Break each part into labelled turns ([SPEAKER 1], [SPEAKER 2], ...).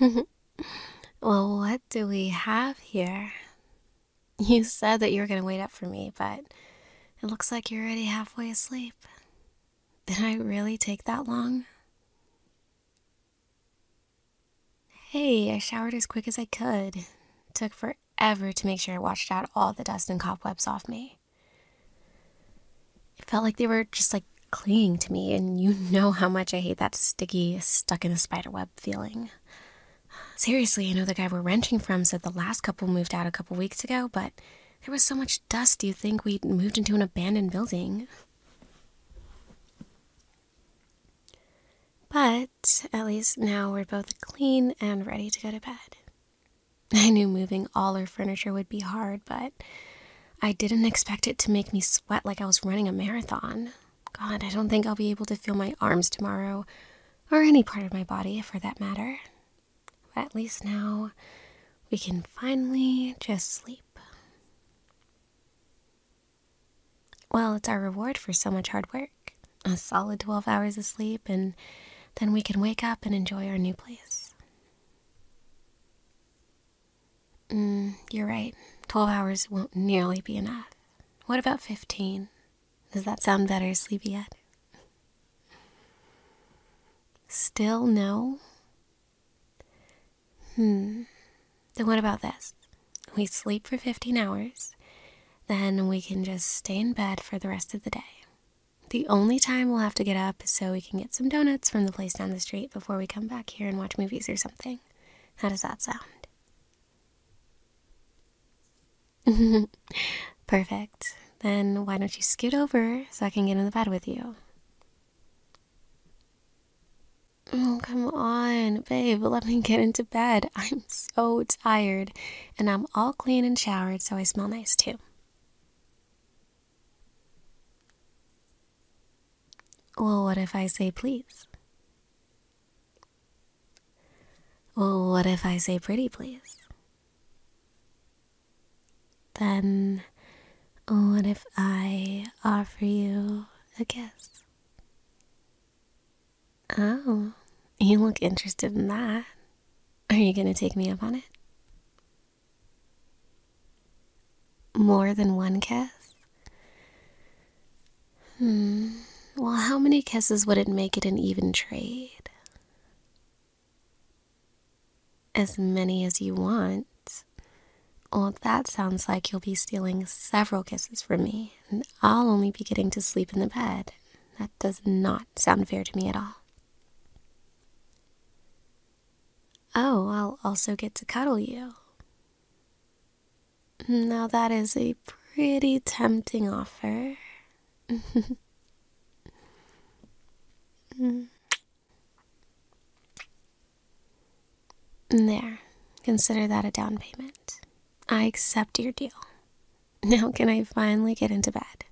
[SPEAKER 1] well, what do we have here? You said that you were going to wait up for me, but it looks like you're already halfway asleep. Did I really take that long? Hey, I showered as quick as I could. took forever to make sure I washed out all the dust and cobwebs off me. It felt like they were just like clinging to me, and you know how much I hate that sticky, stuck in a spider web feeling. Seriously, I know the guy we're renting from said the last couple moved out a couple weeks ago, but there was so much dust, do you think we moved into an abandoned building? But at least now we're both clean and ready to go to bed. I knew moving all our furniture would be hard, but I didn't expect it to make me sweat like I was running a marathon. God, I don't think I'll be able to feel my arms tomorrow, or any part of my body for that matter. at least now we can finally just sleep. Well, it's our reward for so much hard work. A solid 12 hours of sleep, and then we can wake up and enjoy our new place. Mm, you're right. 12 hours won't nearly be enough. What about 15? Does that sound better, Sleepyhead? Still no? Hmm. Then what about this? We sleep for 15 hours, then we can just stay in bed for the rest of the day. The only time we'll have to get up is so we can get some donuts from the place down the street before we come back here and watch movies or something. How does that sound? Perfect. Then why don't you scoot over so I can get in the bed with you? Oh, come on, babe, let me get into bed. I'm so tired, and I'm all clean and showered, so I smell nice too. Well, what if I say please? Well, what if I say pretty please? Then, what if I offer you a kiss. Oh, you look interested in that. Are you going to take me up on it? More than one kiss? Hmm. Well, how many kisses would it make it an even trade? As many as you want. Well, that sounds like you'll be stealing several kisses from me, and I'll only be getting to sleep in the bed. That does not sound fair to me at all. Oh, I'll also get to cuddle you. Now, that is a pretty tempting offer. Mm. There, consider that a down payment. I accept your deal. Now, can I finally get into bed?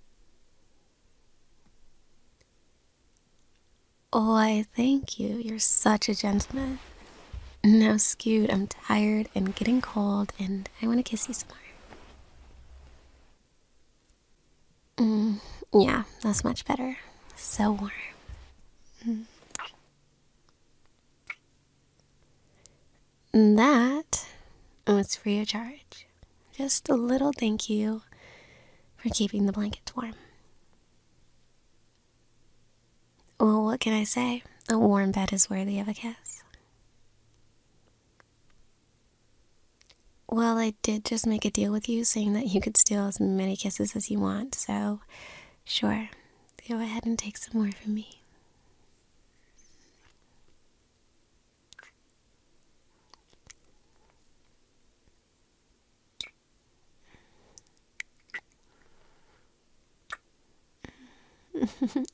[SPEAKER 1] Oh, I thank you. You're such a gentleman. Now, Scoot, I'm tired and getting cold, and I want to kiss you some more. Mm, yeah, that's much better. So warm. And that was free of charge. Just a little thank you for keeping the blankets warm. Well, what can I say? A warm bed is worthy of a kiss. Well, I did just make a deal with you saying that you could steal as many kisses as you want, so Sure, go ahead and take some more from me.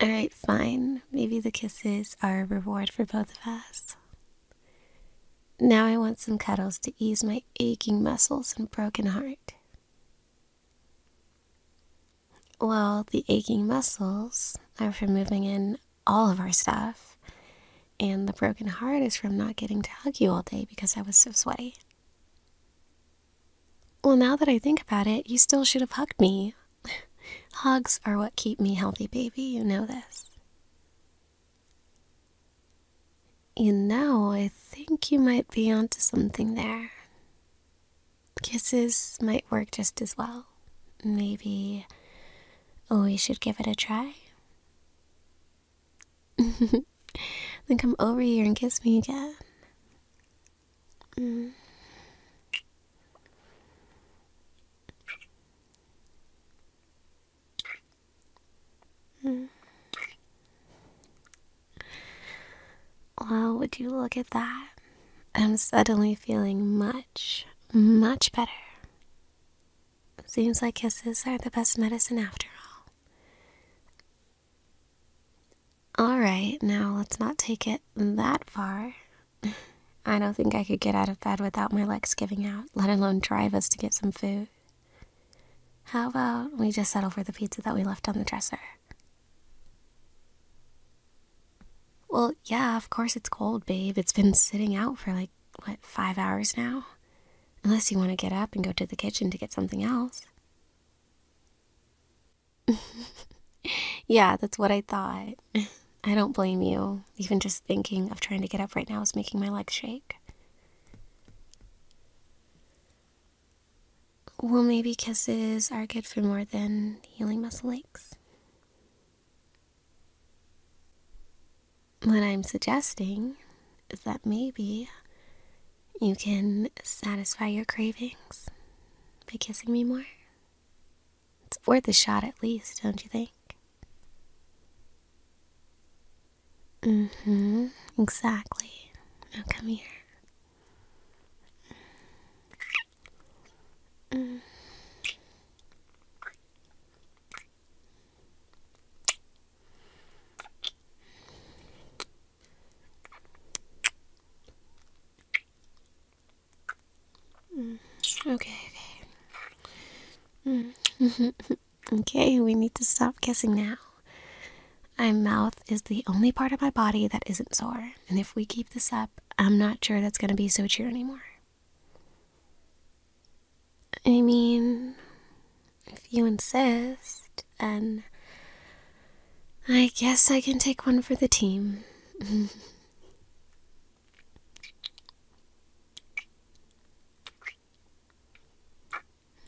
[SPEAKER 1] All right, fine. Maybe the kisses are a reward for both of us. Now I want some cuddles to ease my aching muscles and broken heart. Well, the aching muscles are from moving in all of our stuff, and the broken heart is from not getting to hug you all day because I was so sweaty. Well, now that I think about it, you still should have hugged me. Hugs are what keep me healthy, baby. You know this. You know, I think you might be onto something there. Kisses might work just as well. Maybe oh, we should give it a try. then come over here and kiss me again. Mm. Hmm. Well, would you look at that? I'm suddenly feeling much, much better. Seems like kisses are the best medicine after all. Alright, now let's not take it that far. I don't think I could get out of bed without my legs giving out, let alone drive us to get some food. How about we just settle for the pizza that we left on the dresser? Well, yeah, of course it's cold, babe. It's been sitting out for like, what, five hours now? Unless you want to get up and go to the kitchen to get something else. yeah, that's what I thought. I don't blame you. Even just thinking of trying to get up right now is making my legs shake. Well, maybe kisses are good for more than healing muscle aches. What I'm suggesting is that maybe you can satisfy your cravings by kissing me more. It's worth a shot at least, don't you think? Mm hmm. Exactly. come here. Mm. Mm. Okay, okay. Mm. Okay, we need to stop kissing now. My mouth is the only part of my body that isn't sore, and if we keep this up, I'm not sure that's gonna be so true anymore. I mean, if you insist, then I guess I can take one for the team.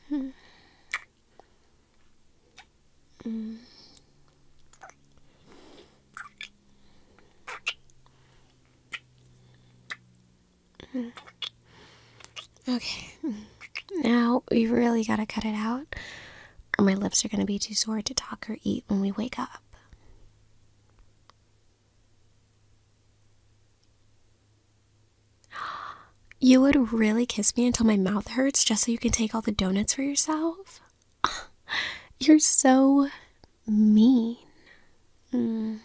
[SPEAKER 1] Hmm. Mm. Okay, now we really gotta cut it out, or my lips are gonna be too sore to talk or eat when we wake up. You would really kiss me until my mouth hurts just so you can take all the donuts for yourself? You're so mean. Mm.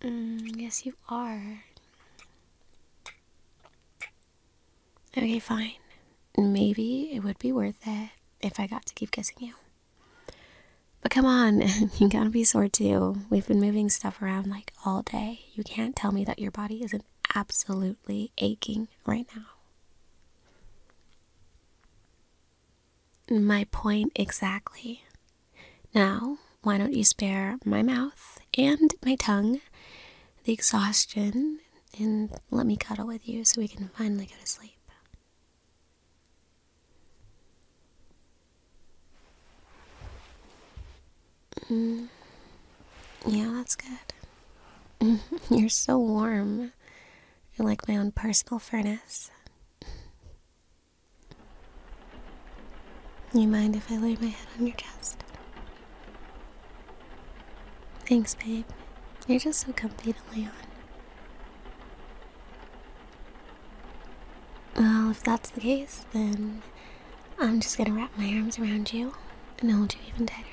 [SPEAKER 1] Mm, yes, you are. Okay, fine. Maybe it would be worth it if I got to keep kissing you. But come on, you gotta be sore too. We've been moving stuff around like all day. You can't tell me that your body isn't absolutely aching right now. My point exactly. Now, why don't you spare my mouth and my tongue the exhaustion and let me cuddle with you so we can finally go to sleep? Mm. Yeah, that's good. You're so warm. You're like my own personal furnace. You mind if I lay my head on your chest? Thanks, babe. You're just so comfy to lay on. Well, if that's the case, then I'm just gonna wrap my arms around you and hold you even tighter.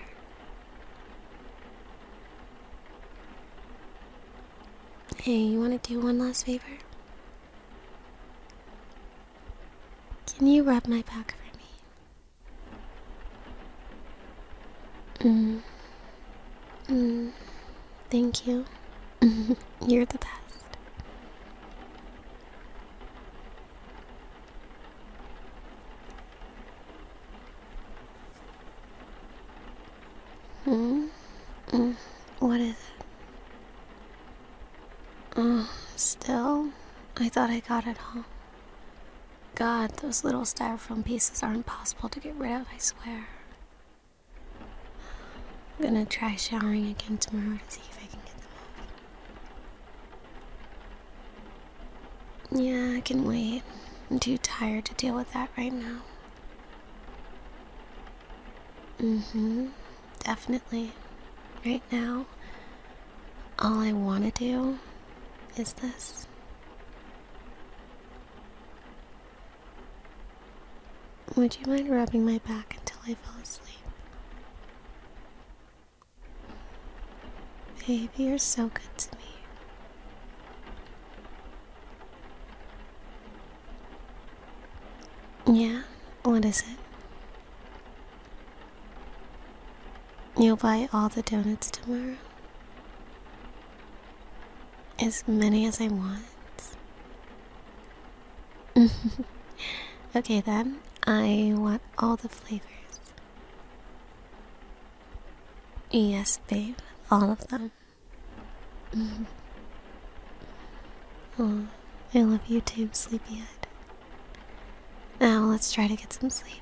[SPEAKER 1] Hey, you wanna do one last favor? Can you rub my back for me? Mm. Mm. Thank you. You're the best. Hmm? Mm. What is it? Oh, still? I thought I got it all. God, those little styrofoam pieces are impossible to get rid of, I swear. I'm gonna try showering again tomorrow to see if I can get them off. Yeah, I can wait. I'm too tired to deal with that right now. Mm hmm. Definitely. Right now, all I want to do is this. Would you mind rubbing my back until I fall asleep? Baby, you're so good to me. Yeah, what is it? You'll buy all the donuts tomorrow? As many as I want. okay then, I want all the flavors. Yes, babe, all of them. oh, I love you too, sleepyhead. Now let's try to get some sleep.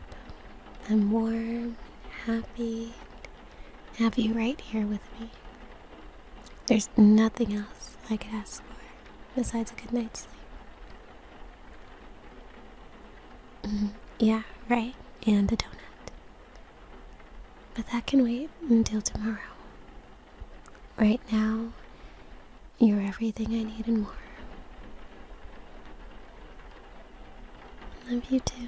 [SPEAKER 1] I'm warm, and happy, have you right here with me. There's nothing else I could ask for besides a good night's sleep. Mm-hmm. yeah, right, and a donut. But that can wait until tomorrow. Right now, you're everything I need and more. Love you too.